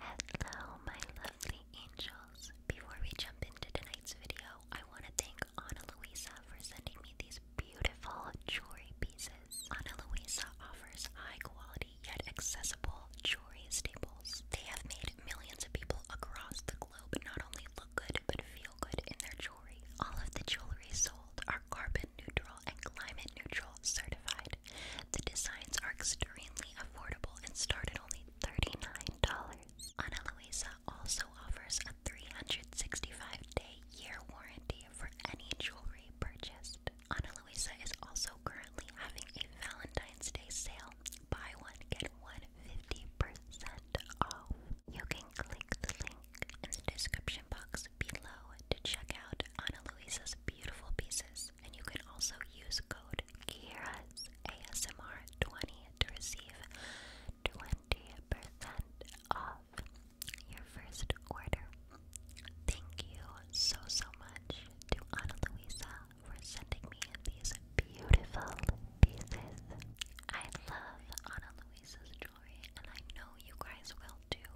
Hello, my lovely angels. Before we jump into tonight's video, I want to thank Ana Luisa for sending me these beautiful jewelry pieces. Ana Luisa offers high quality yet accessible jewelry staples. They have made millions of people across the globe not only look good but feel good in their jewelry. All of the jewelry sold are carbon neutral and climate neutral certified. The designs are extremely affordable and start at only $39. Ana Luisa also offers a 365-day year warranty for any jewelry purchased. Ana Luisa is also currently having a Valentine's Day sale. Buy one, get one 50% off. You can click the link in the description box below to check out Ana Luisa's beautiful pieces and you can also use code Kiera's ASMR 20 to receive 20% off your first order. Thank you so so much to Ana Luisa for sending me these beautiful pieces. I love Ana Luisa's jewelry and I know you guys will too.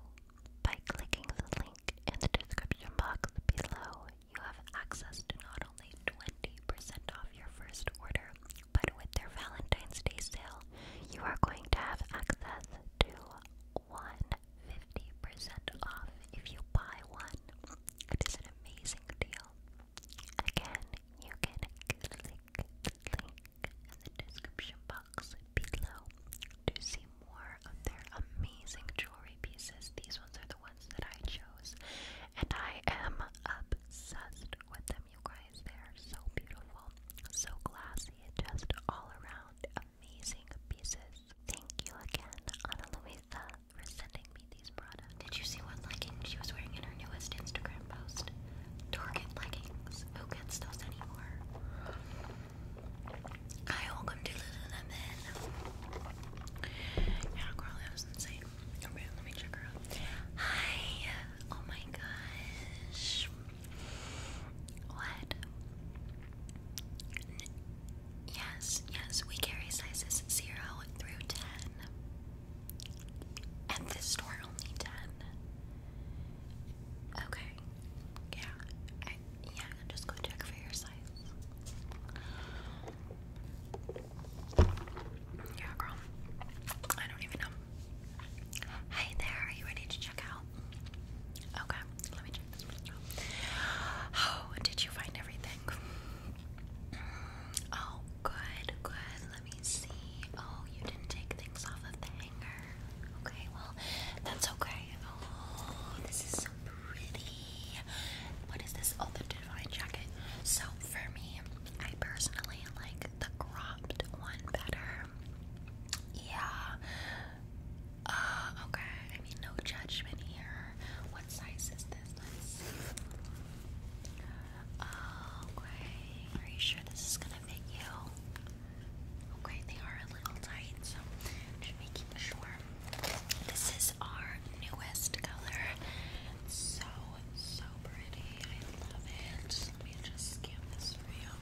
By clicking the link in the description box below, you have access to not only 20% off your first order, but with their Valentine's Day sale, you are going to have access to one fifty percent off if you buy one. It is an amazing deal. Again, you can click the link in the description box below to see more of their amazing jewelry pieces. These ones are the ones that I chose, and I am obsessed with them, you guys. They are so beautiful, so classy, just all around amazing pieces. Thank you again, Ana Luisa, for sending me these products. Did you see what leggings she was wearing in her newest Instagram post? Target leggings. Who gets those anymore? Hi, welcome to Lululemon. Yeah, Carly, that was insane. Okay, let me check Hi! Oh my gosh. What? yes, yes, we carry sizes 0 through 10. At this store, only 10. Okay. Yeah. yeah, just go check for your size. Yeah, girl. I don't even know. Hi there. Are you ready to check out? Okay. Let me check this one oh, did you find everything? Mm, oh, good, good. Let me see. Oh, you didn't take things off of the hanger. Okay, well, that's okay. Oh, this is so pretty. What is this? Oh, Divine Jacket. So, for me, I personally like the cropped one better. Yeah. Uh, okay. I mean, no judgment here. What size is this? Uh, okay. Are you sure this is gonna fit you? Okay, they are a little tight, so just making sure. This is our newest color. so, so pretty. I love it. Let me just scan this for you.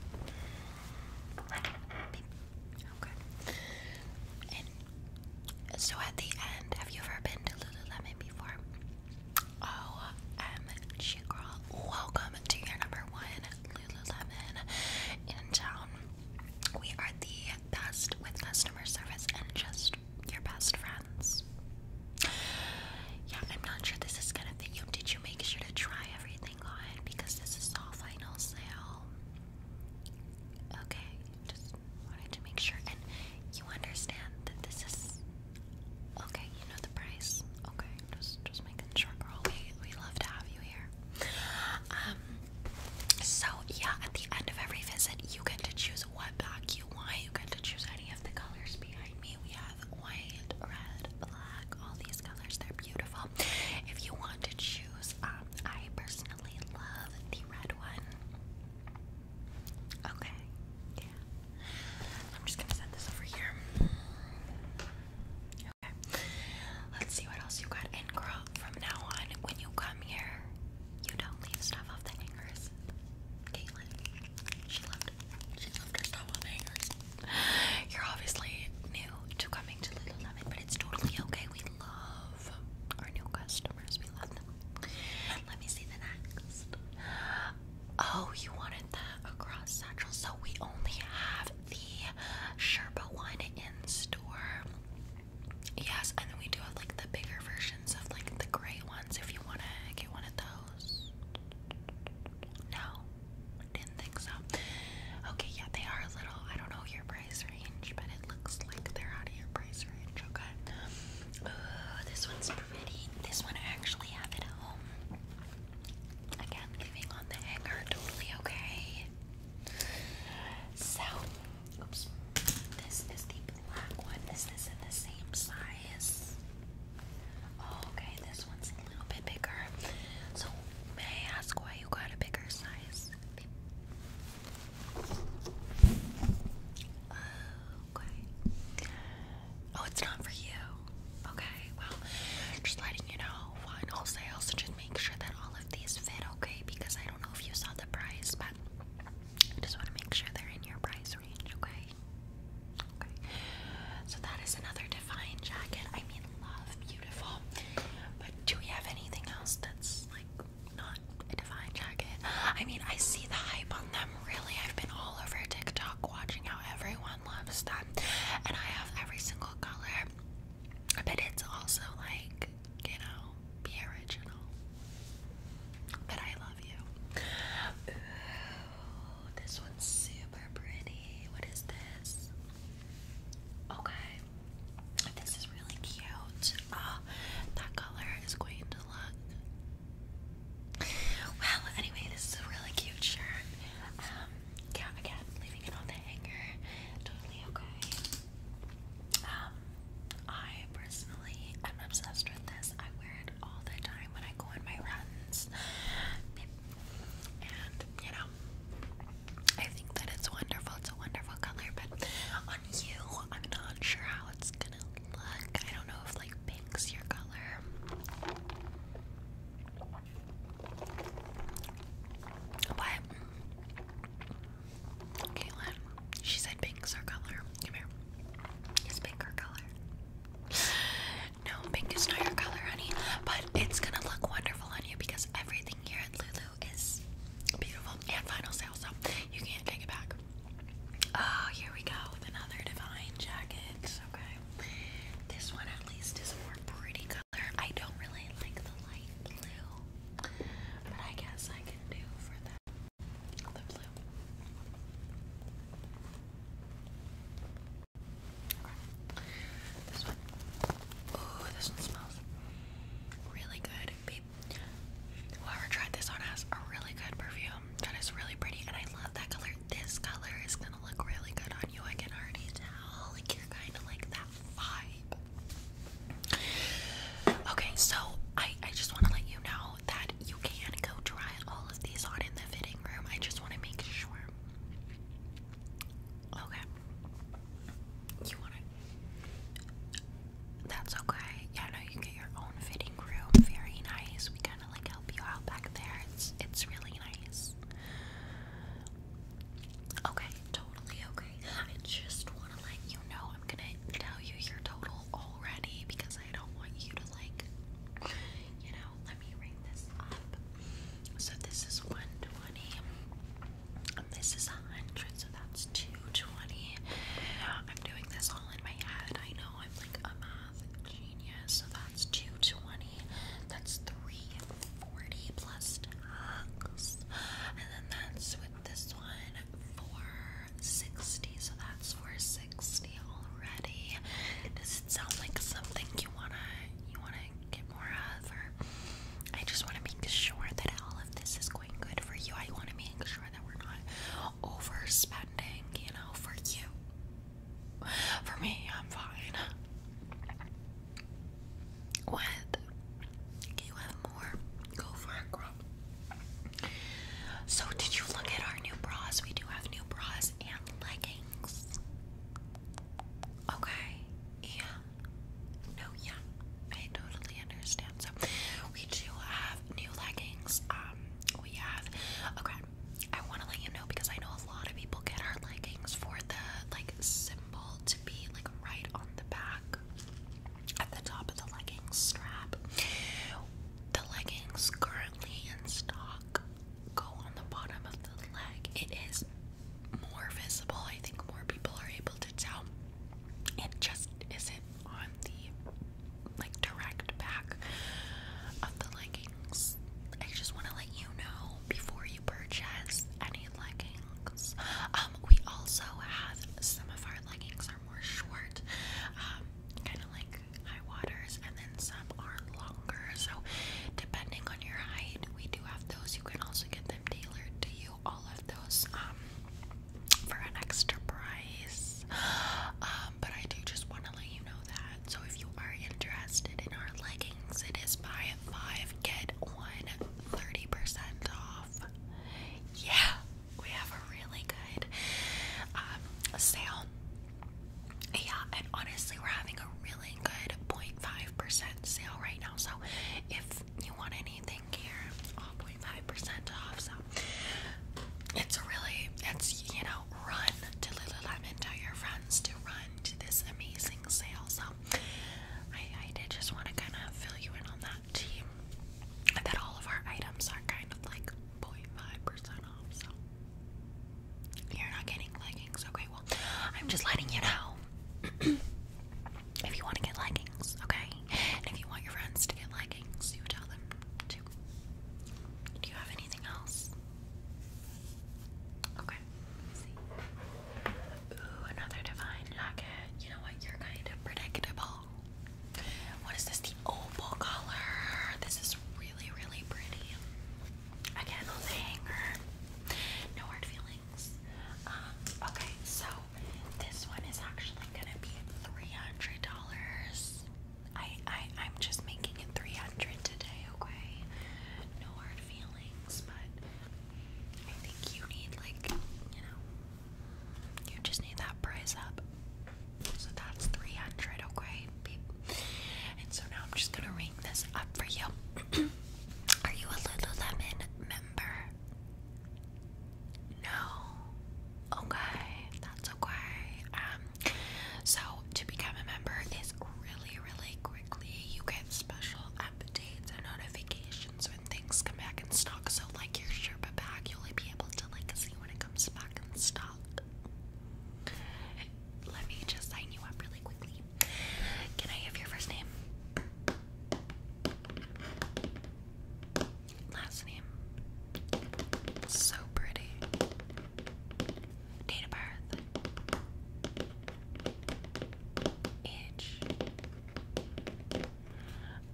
Okay. so at the end, have you ever been to Lululemon before? Oh, um, girl, welcome to your number one Lululemon in town. We are the best with customer service and just your best friends. Yeah, I'm not sure this is gonna fit you. Did you make sure to try everything on? Because this is all final sale. Okay, just wanted to make sure. And you understand that this is okay, you know the price. Okay, just just just making We we love to have you here. Um, so yeah, at the end of every visit, you get to choose what back you want. You get to choose any of the colors behind me. We have white, red, black. All these colors. They're beautiful. If you want to choose, um, I personally love the red one. Okay. Yeah. I'm just gonna set this over here. Let's see what else you got. And from now on, when you come here, you don't leave stuff off the hangers. Caitlin, she left, she left her stuff on hangers. You're obviously new to coming to Lemon, but it's totally okay. We love our new customers. We love them. Let me see the next. Oh, you wanted the across satchel, so we only have the Sherpa one in store. Yes, and then we do have like the bigger versions of like the gray ones if you want to get one of those. No, didn't think so. Okay, yeah, they are little, I don't know your price range, but it looks like they're out of your price range, okay? Oh, this one's pretty. This one actually have at home. Again, leaving on the hanger, totally okay. So, this is the black one. Is in the same size? Oh, okay, this one's a little bit bigger. So, may I ask why you got a bigger size? Okay. Oh, it's not for you. Okay, well, just letting you know one wholesale, so just make sure that all of these fit, okay? Because I don't know if you saw the price, but I just want to make sure they're in your price range, okay? Okay. So that is another Define jacket. I mean, love, beautiful. But do we have anything else that's like not a Define jacket? I mean, I see the hype on them, really. I've been all over TikTok watching how everyone loves them. And I have every single color, but it's also like, you know, be original. But I love you. this one's super pretty. What is this? Okay. This is really cute. Ah, that color is going to look well, anyway, this is a really cute shirt. Um, yeah, again, leaving it on the hanger, totally okay. Um, I personally am obsessed with this. I wear it all the time when I go on my runs. And, you know, I think that it's wonderful. It's a wonderful color, but on you, I'm not sure how it's gonna look. I don't know if, like, pink's your color. What? Caitlin, she said pink's her color. Come here. Is pink her color? No, pink is not your color, honey. But it's gonna look wonderful on you because everything here at Lulu is beautiful and final sale, so you can't take it back. Oh, here we go with another divine jacket. Okay. This one at least is a more pretty color. I don't really like the light blue, but I guess I can do for that. the blue. This one. Ooh, this one smells really good. Whoever tried this on has a really good perfume that is really pretty and I love that color this color is gonna look really good on you. I can already tell. Like you're kind of like that vibe. Okay, so I I just want to let you know that you can go try all of these on in the fitting room. I just want to make sure. Okay. You want it? That's okay. Yeah, no, you get your own fitting very nice. We kind of like help you out back there. It's it's really nice. Okay, totally okay. I just want to let you know I'm gonna tell you your total already because I don't want you to like, you know. Let me ring this up. So this is one twenty. this is a hundred, so that's two twenty. I'm doing this all in my head. I know I'm like genius. So that's 220. That's 340 plus tax. And then that's with this one 460. So that's 460 already. Does it sound like something you wanna you wanna get more of I just wanna make sure that all of this is going good for you. I wanna make sure that we're not not overspending, you know, for you. For me, I'm fine. What? you have more? Go for it, girl. So, did you look at our new bras? We do have new bras and leggings. Okay. Yeah. No, yeah. I totally understand. So, we do have new leggings. Um, we have, okay, I want to let you know because I know a lot of people get our leggings for the like symbol to be like right on the back at the top of the leggings strap. The leggings currently in stock go on the bottom of the leg. It is more visible. I think more people are able to tell. It just isn't on the like direct back of the leggings. I just want to let you know before you purchase any leggings. Um, we also have some of our leggings are more short, um, kind of like high waters, and then some are longer. So, depending on your height, we do have those. You can also get them tailored to you. All of those um, for an extra price. Um, but I do just want to let you know that. So if you are interested in our leggings, it is buy five, get one 30% off. Yeah, we have a really good um, sale. Yeah, and honestly, we're having a really good 0.5% sale right now. So if you want anything here 0.5% off. So it's really, it's, you know, run to Lululemon. Tell your friends to run to this amazing sale. So I, I did just want to kind of fill you in on that team. That all of our items are kind of like 0.5% off. So you're not getting leggings. Okay, well, I'm just letting you know. if you want to get leggings, okay? And if you want your friends to get leggings, you tell them to. Do you have anything else? Okay. Ooh, another divine jacket. You know what? You're kind of predictable. What is this? The opal color. This is really, really pretty. Again, on the hanger. No hard feelings. Um, okay, so this one is actually gonna be three hundred dollars. I I I'm just making it three hundred today, okay? No hard feelings, but I think you need like you know you just need that price up. So that's three hundred, okay? And so now I'm just gonna ring this up for you. Are you a Lululemon member? No. Okay, that's okay. Um, so to become a member is really, really quickly. You get special updates and notifications when things come back in stock. So like your Sherpa bag, you'll be able to like see when it comes back in stock. Let me just sign you up really quickly. Can I have your first name? last name. So pretty. Date of birth. Age.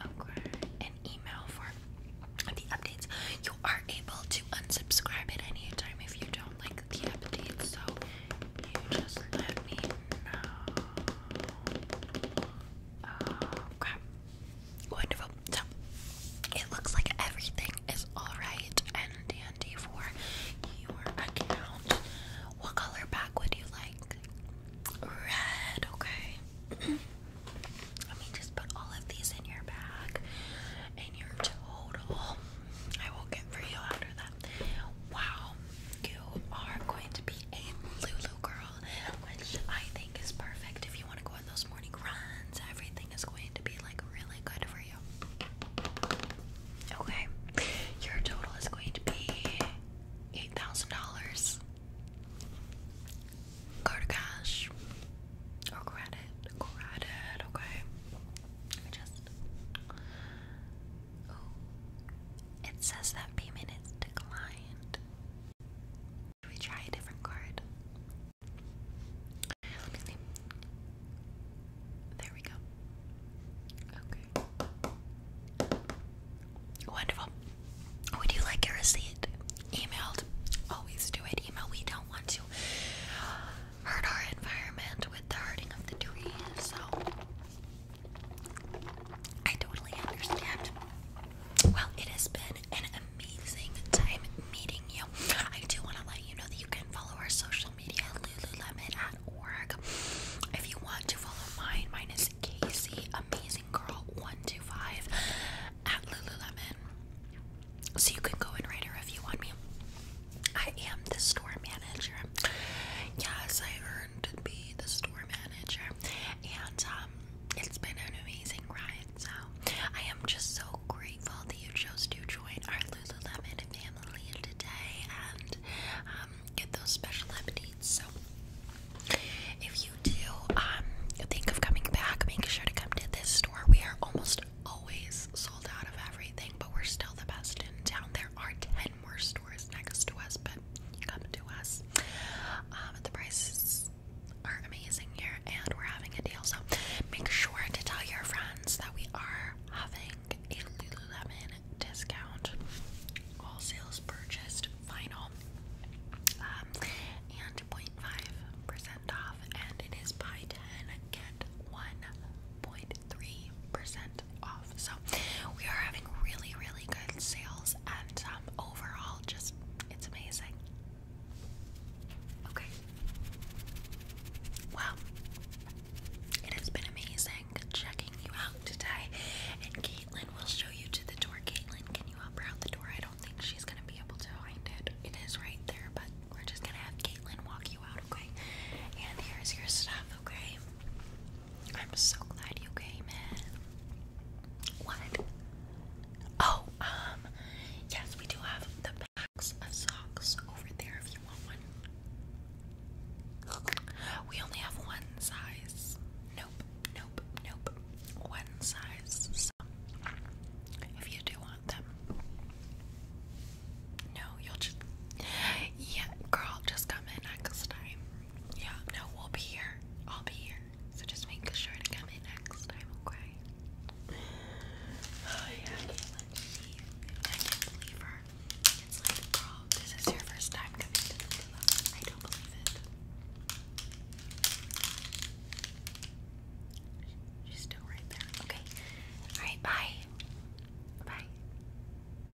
Okay. An email for the updates. You are able to unsubscribe at any time if you don't like the updates, so you just let me know. Okay. Wonderful. So it looks like everything is alright and dandy for your account. What color back would you like? Red, okay. Let me just put all of these in your bag and your total. I will get for you after that. Wow, you are going to be a Lulu girl which I think is perfect if you want to go on those morning runs. Everything is going to be like really good for you. Okay, your total is going to be eight thousand dollars. Go to cash or oh, credit, credit. Okay, just. Oh, it says that payment is declined. Should we try a different card? There we go. Okay. Wonderful. Would you like a receipt? Emailed. Always do it. Email. We don't want to hurt our environment with the hurting of the trees, so I totally understand. Well, it has been an amazing time meeting you. I do want to let you know that you can follow our social media Lululemon at org. If you want to follow mine, mine is Casey Amazing Girl 125 at Lululemon. So you can go and write a review on me. I am the store manager. Yes, I heard to be the store manager, and um, it's been an amazing ride. So I am just so grateful that you chose to join our Lululemon family today and um, get those special updates. So if you do um, think of coming back, make sure to come to this store. We are almost always sold out of everything, but we're still the best in town. There are ten more stores next to us, but come to us. Um, the prices are amazing here, and we're having a deal. So make sure to tell your friends that we are having a Lululemon discount. All sales purchased final, um, and 0.5 percent off, and it is buy ten get one. percent so we are having really, really good sales and um, overall just it's amazing. Okay. Well, it has been amazing checking you out today. And Caitlin will show you to the door. Caitlin, can you help her out the door? I don't think she's gonna be able to find it. It is right there, but we're just gonna have Caitlin walk you out, okay? And here's your stuff, okay? I'm so glad you came in. What? Oh, um, yes, we do have the packs of socks over there if you want one. We only have one size. Nope, nope, nope. One size. So if you do want them. No, you'll just. Yeah, girl, just come in next time. Yeah, no, we'll be here. I'll be here. So just make sure to come in next time, okay? Oh yeah, I can't believe her. It's like, girl, this is your first time coming to the villa. I don't believe it. She's still right there. Okay. Alright, bye. Bye.